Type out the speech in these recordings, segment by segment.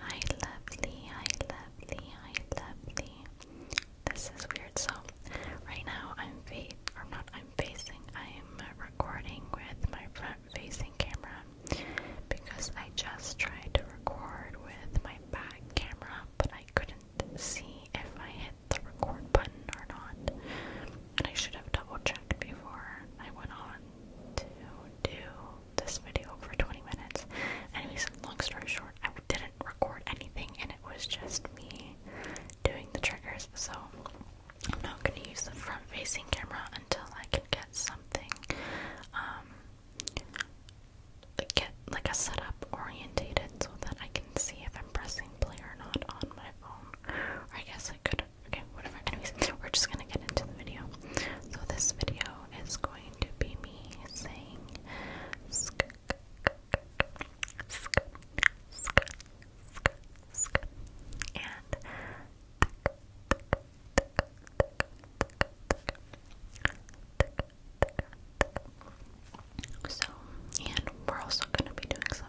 I love thee, I love thee, I love thee. This is weird. So, right now I'm I'm facing. I'm recording with my front-facing camera because I just tried to record with my back camera, but I couldn't see if I hit the record button or not. And I should have double-checked before I went on to do this video for 20 minutes. Anyways, long story short, I didn't record anything and it was just me doing the triggers, so I'm not gonna use the front facing camera until I can get something, um, get like a setup orientated so that I can see if I'm pressing play or not on my phone. Or I guess I could Okay, whatever. Anyways, we're just gonna get into the video. So this video is going to be me saying sk sk sk sk sk and so, and we're also going to be doing some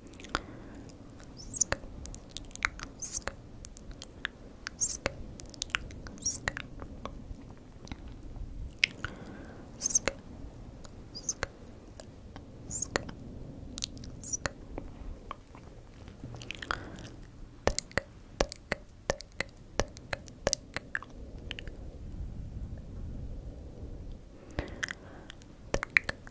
Sk sk sk sk sk sk sk sk Tick, tick, tick, tick, tick. Tick,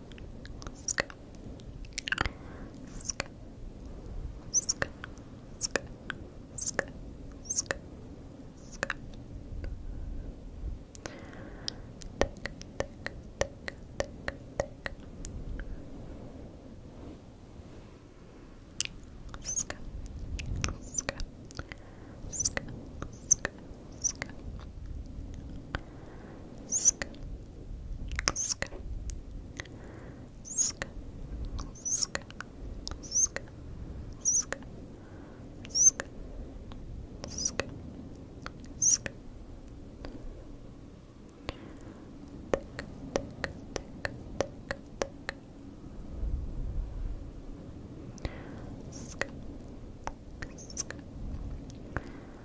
Sk sk sk sk sk sk sk tick tick tick tick tick sk sk sk sk sk sk, sk, sk, sk, sk, sk, sk, sk, sk, sk. Tick, tick, tick, tick, Sk, sk, sk,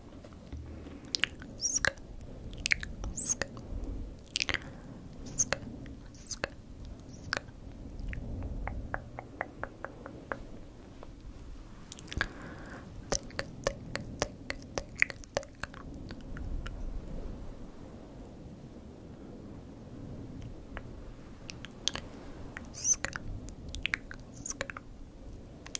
Sk sk sk sk sk Tick, tick, tick, tick, tick. Sk, sk,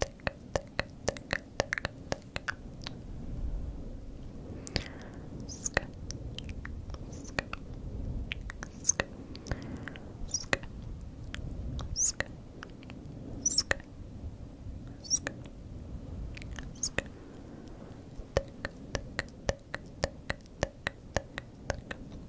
thicker, thicker, thicker, thicker, thicker. Sk sk sk sk sk sk sk sk Thick, thick, thick, thick, thick, thick, thick, thick,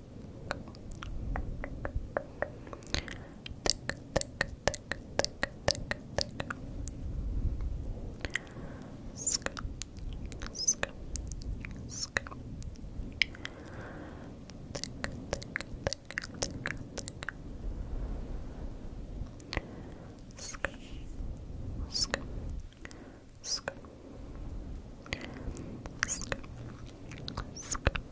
thick, thick, thick, thick, thick, thick. Scoop, scoop, scoop. Thick, thick, thick, thick, thick. Scoop, scoop, scoop. Scoop, scoop,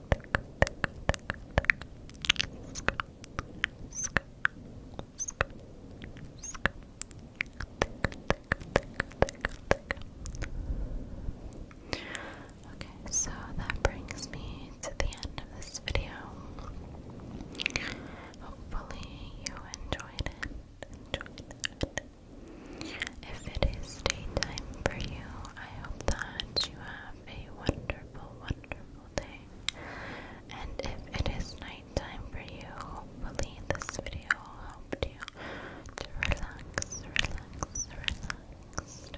Okay, so that brings me to the end of this video. Hopefully, you enjoyed it. If it is daytime for you, I hope that you have a wonderful, wonderful day. And if it is nighttime for you, hopefully this video helped you to relax, relax, relax.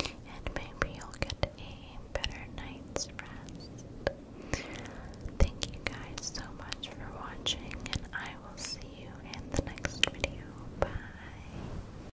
And maybe you'll get a better night's rest. Thank you guys so much for watching, and I will see you in the next video. Bye.